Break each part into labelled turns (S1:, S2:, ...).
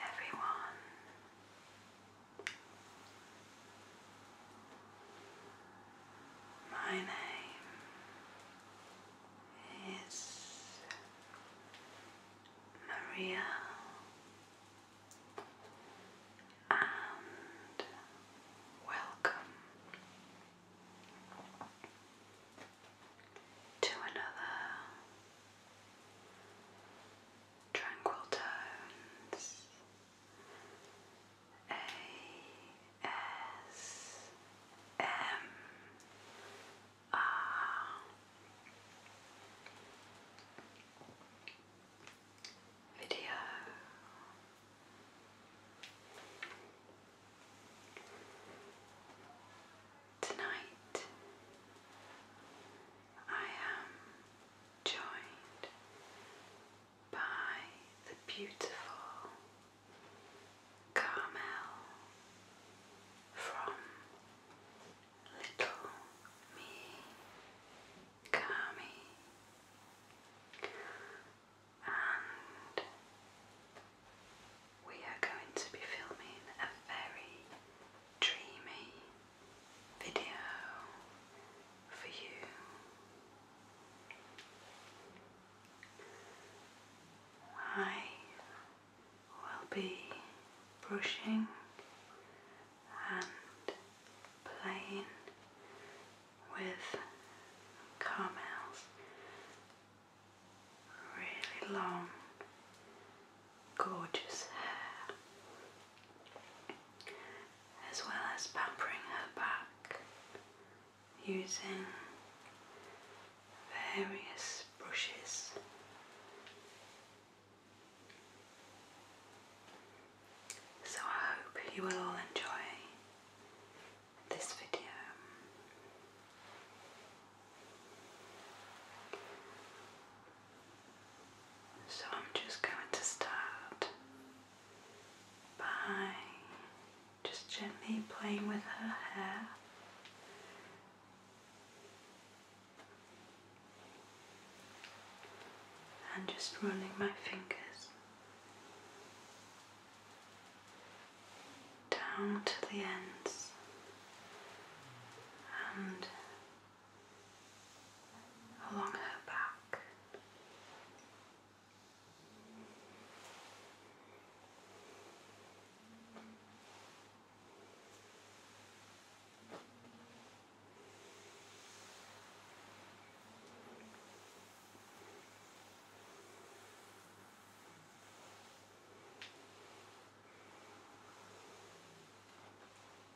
S1: everyone. My name is Maria, and welcome to another tranquil tones. A S M R. Video. Tonight I am joined by the beautiful Carmel from Little Me Carmi and we are going to be filming a very dreamy video for you. I will be brushing and playing with Carmel's really long gorgeous hair, as well as pampering her back using various brushes. So I hope you will all enjoy this video. So I'm just going to start by just gently playing with her hair. And just running my fingers down to the ends and along her back.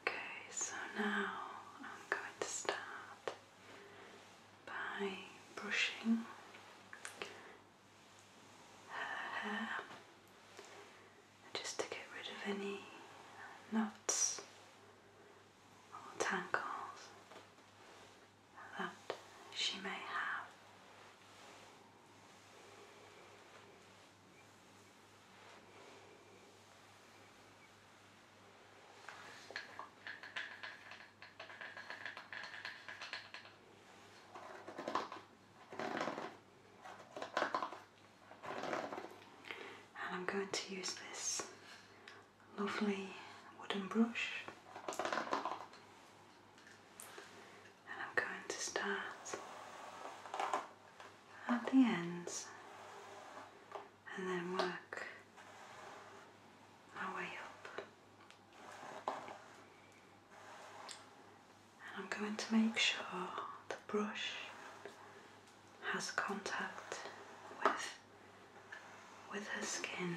S1: Okay, so now I'm going to start by brushing her uh, hair just to get rid of any knots or tangles that she may have. And I'm going to use this lovely wooden brush and I'm going to start at the ends and then work my way up and I'm going to make sure the brush has contact with with her skin.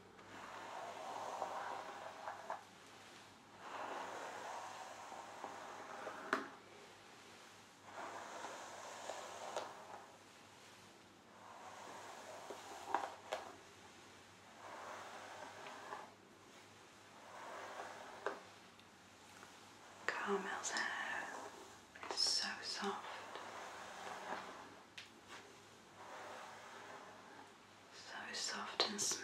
S1: Carmel's hair is so soft so soft and smooth.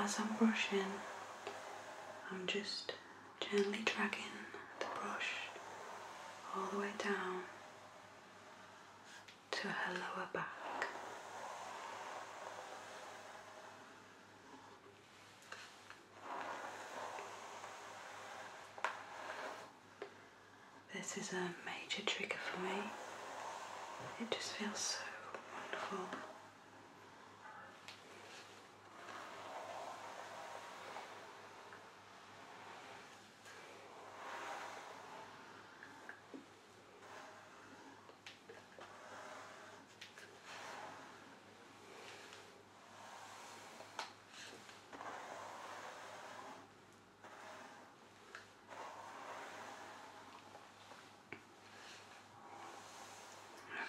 S1: as I'm brushing, I'm just gently dragging the brush all the way down to her lower back. This is a major trigger for me. It just feels so wonderful.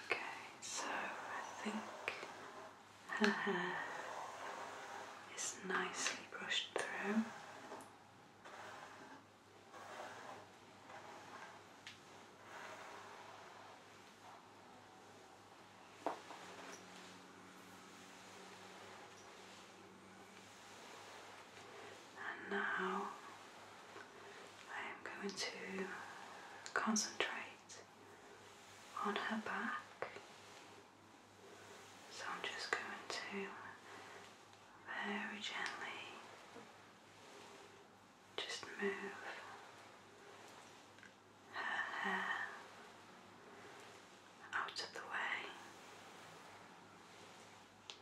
S1: Okay, so I think her hair is nicely brushed through. And now I am going to concentrate on her back. So I'm just going to very gently just move her hair out of the way. There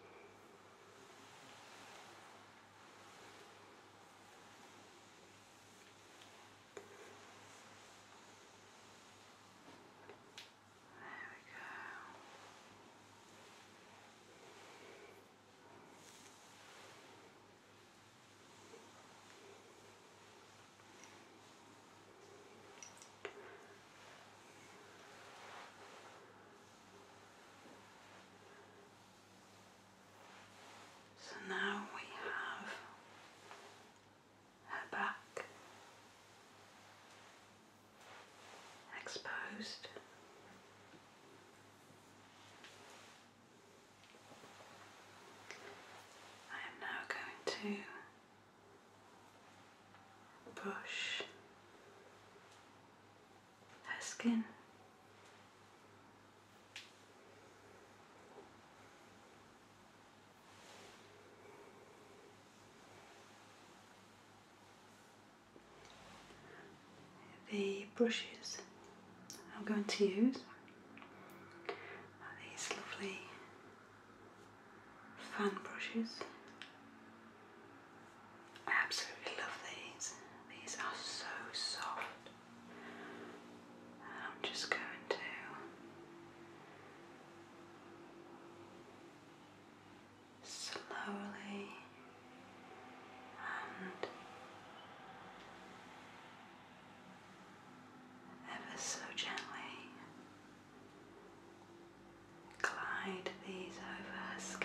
S1: we go. So now we have her back exposed. I am now going to brush her skin. The brushes I'm going to use these lovely fan brushes. absolutely love these. These are so soft. I'm just going to slowly and ever so gently glide these over her skin.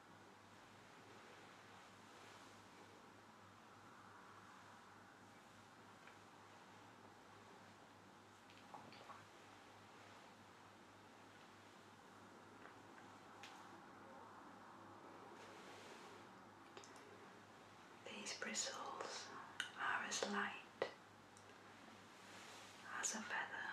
S1: These bristles are as light as a feather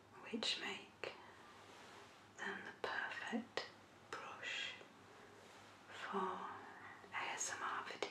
S1: which make them the perfect brush for
S2: ASMR videos.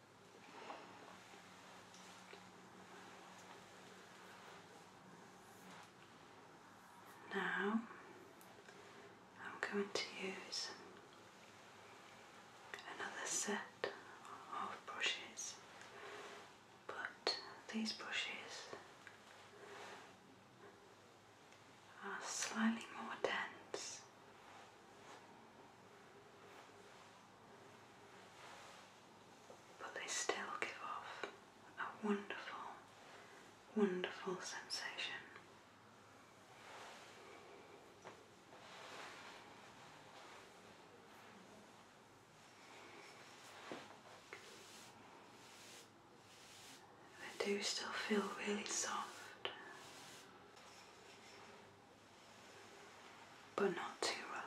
S1: Now I'm going to use another set of brushes, but these brushes are slightly more dense but they still give off a wonderful, wonderful sensation. They do still feel really soft but not too rough.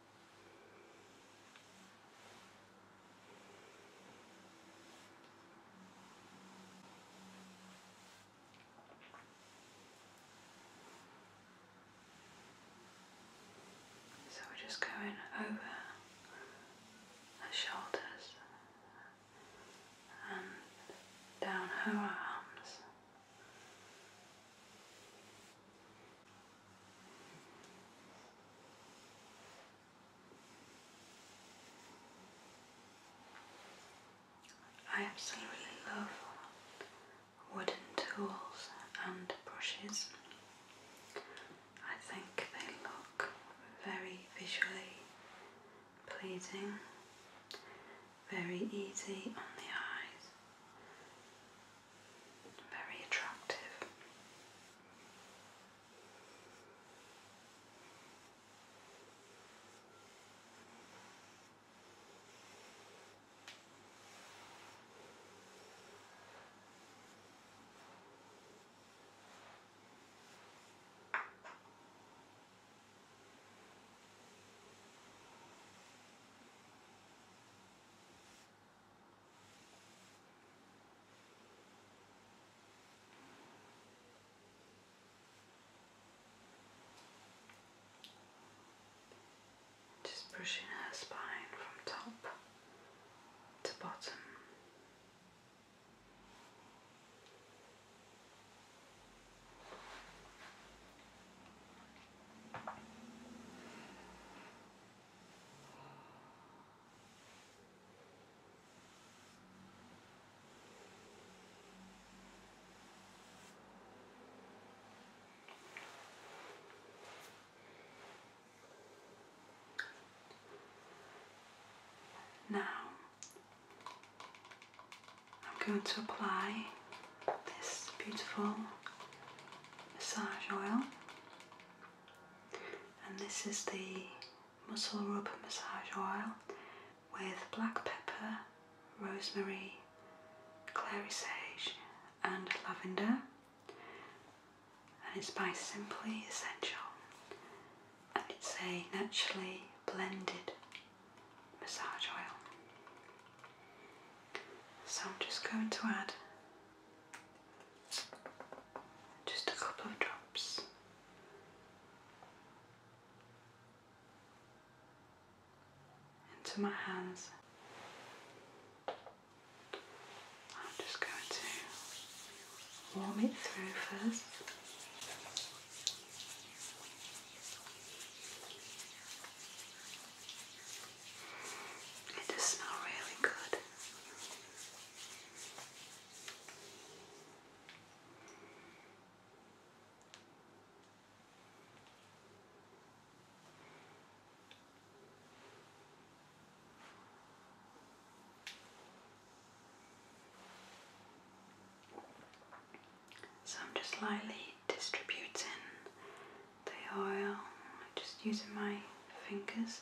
S1: So we're just going over her shoulders and down her arms. I absolutely love wooden tools and brushes. I think they look very visually pleasing, very easy on the eyes, very attractive. Just pushing her spine from top to bottom. Now I'm going to apply this beautiful massage oil and this is the muscle rub massage oil with black pepper, rosemary, clary sage, and lavender, and it's by Simply Essential, and it's a naturally blended massage oil. So I'm just going to add just a couple of drops. Into my hands. I'm just going to warm it through first. It does smell really good. So I'm just lightly distributing the oil, I'm just using my fingers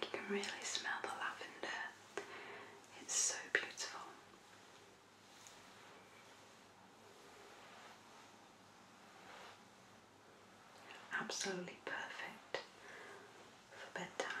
S1: You can really smell the lavender. It's so beautiful. Absolutely perfect for bedtime.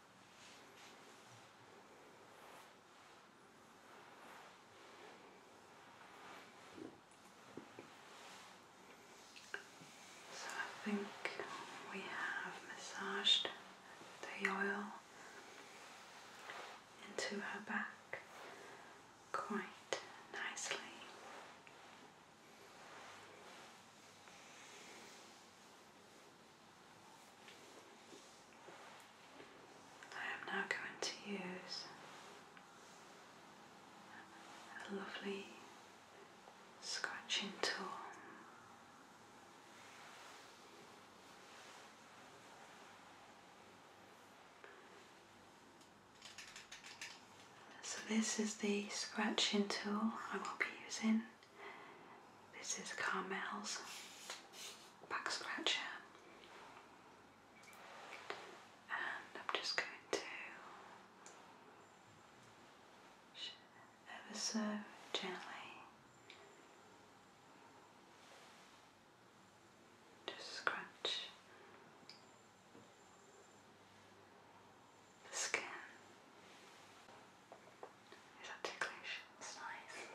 S1: So I think we have massaged the oil into her back quite nicely. I am now going to use a lovely scratching tool. So, this is the scratching tool I will be using this is Carmel's back scratcher. And I'm just going to ever so gently just scratch the skin. Is that ticklish? It's nice.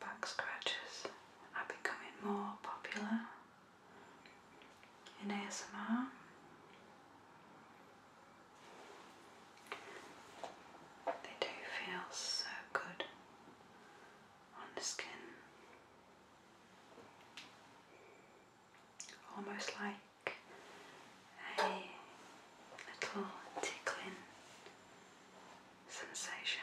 S1: Back scratches are becoming more popular in ASMR. They do feel so good on the skin, almost like a little tickling sensation.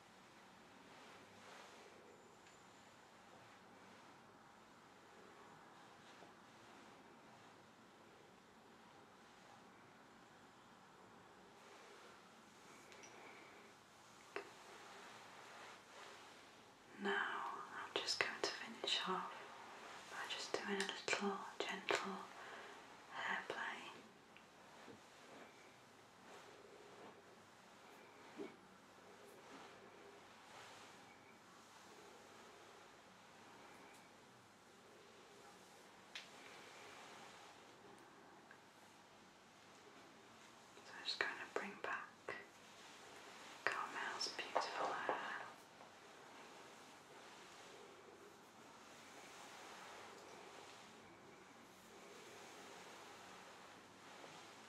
S1: Now I'm just going to finish off by just doing a little gentle hair play. So i just going to bring back Carmel's beautiful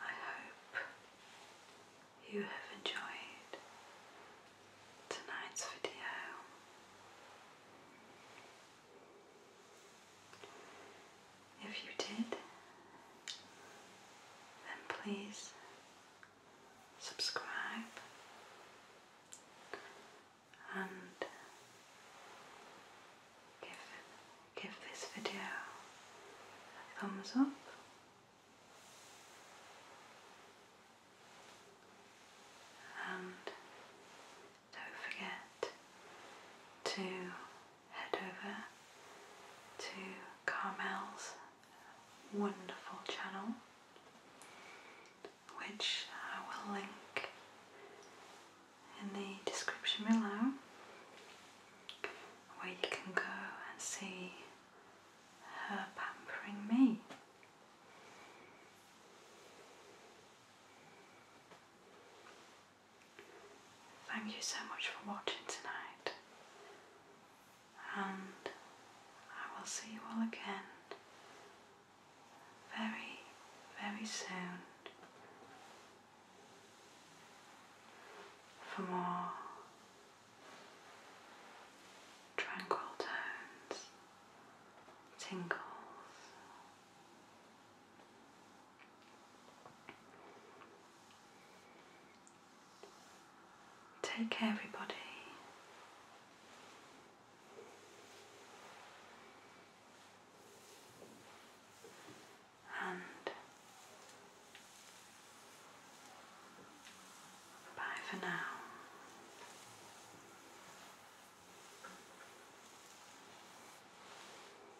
S1: I hope you have enjoyed tonight's video. If you did, then please subscribe and give, give this video a thumbs up. And don't forget to head over to Carmel's wonderful channel, which I will link in the description below, where you can go and see her pampering me. Thank you so much for watching tonight, and I will see you all again very, very soon for more tranquil tones, tingles, Take care, everybody. And bye for now.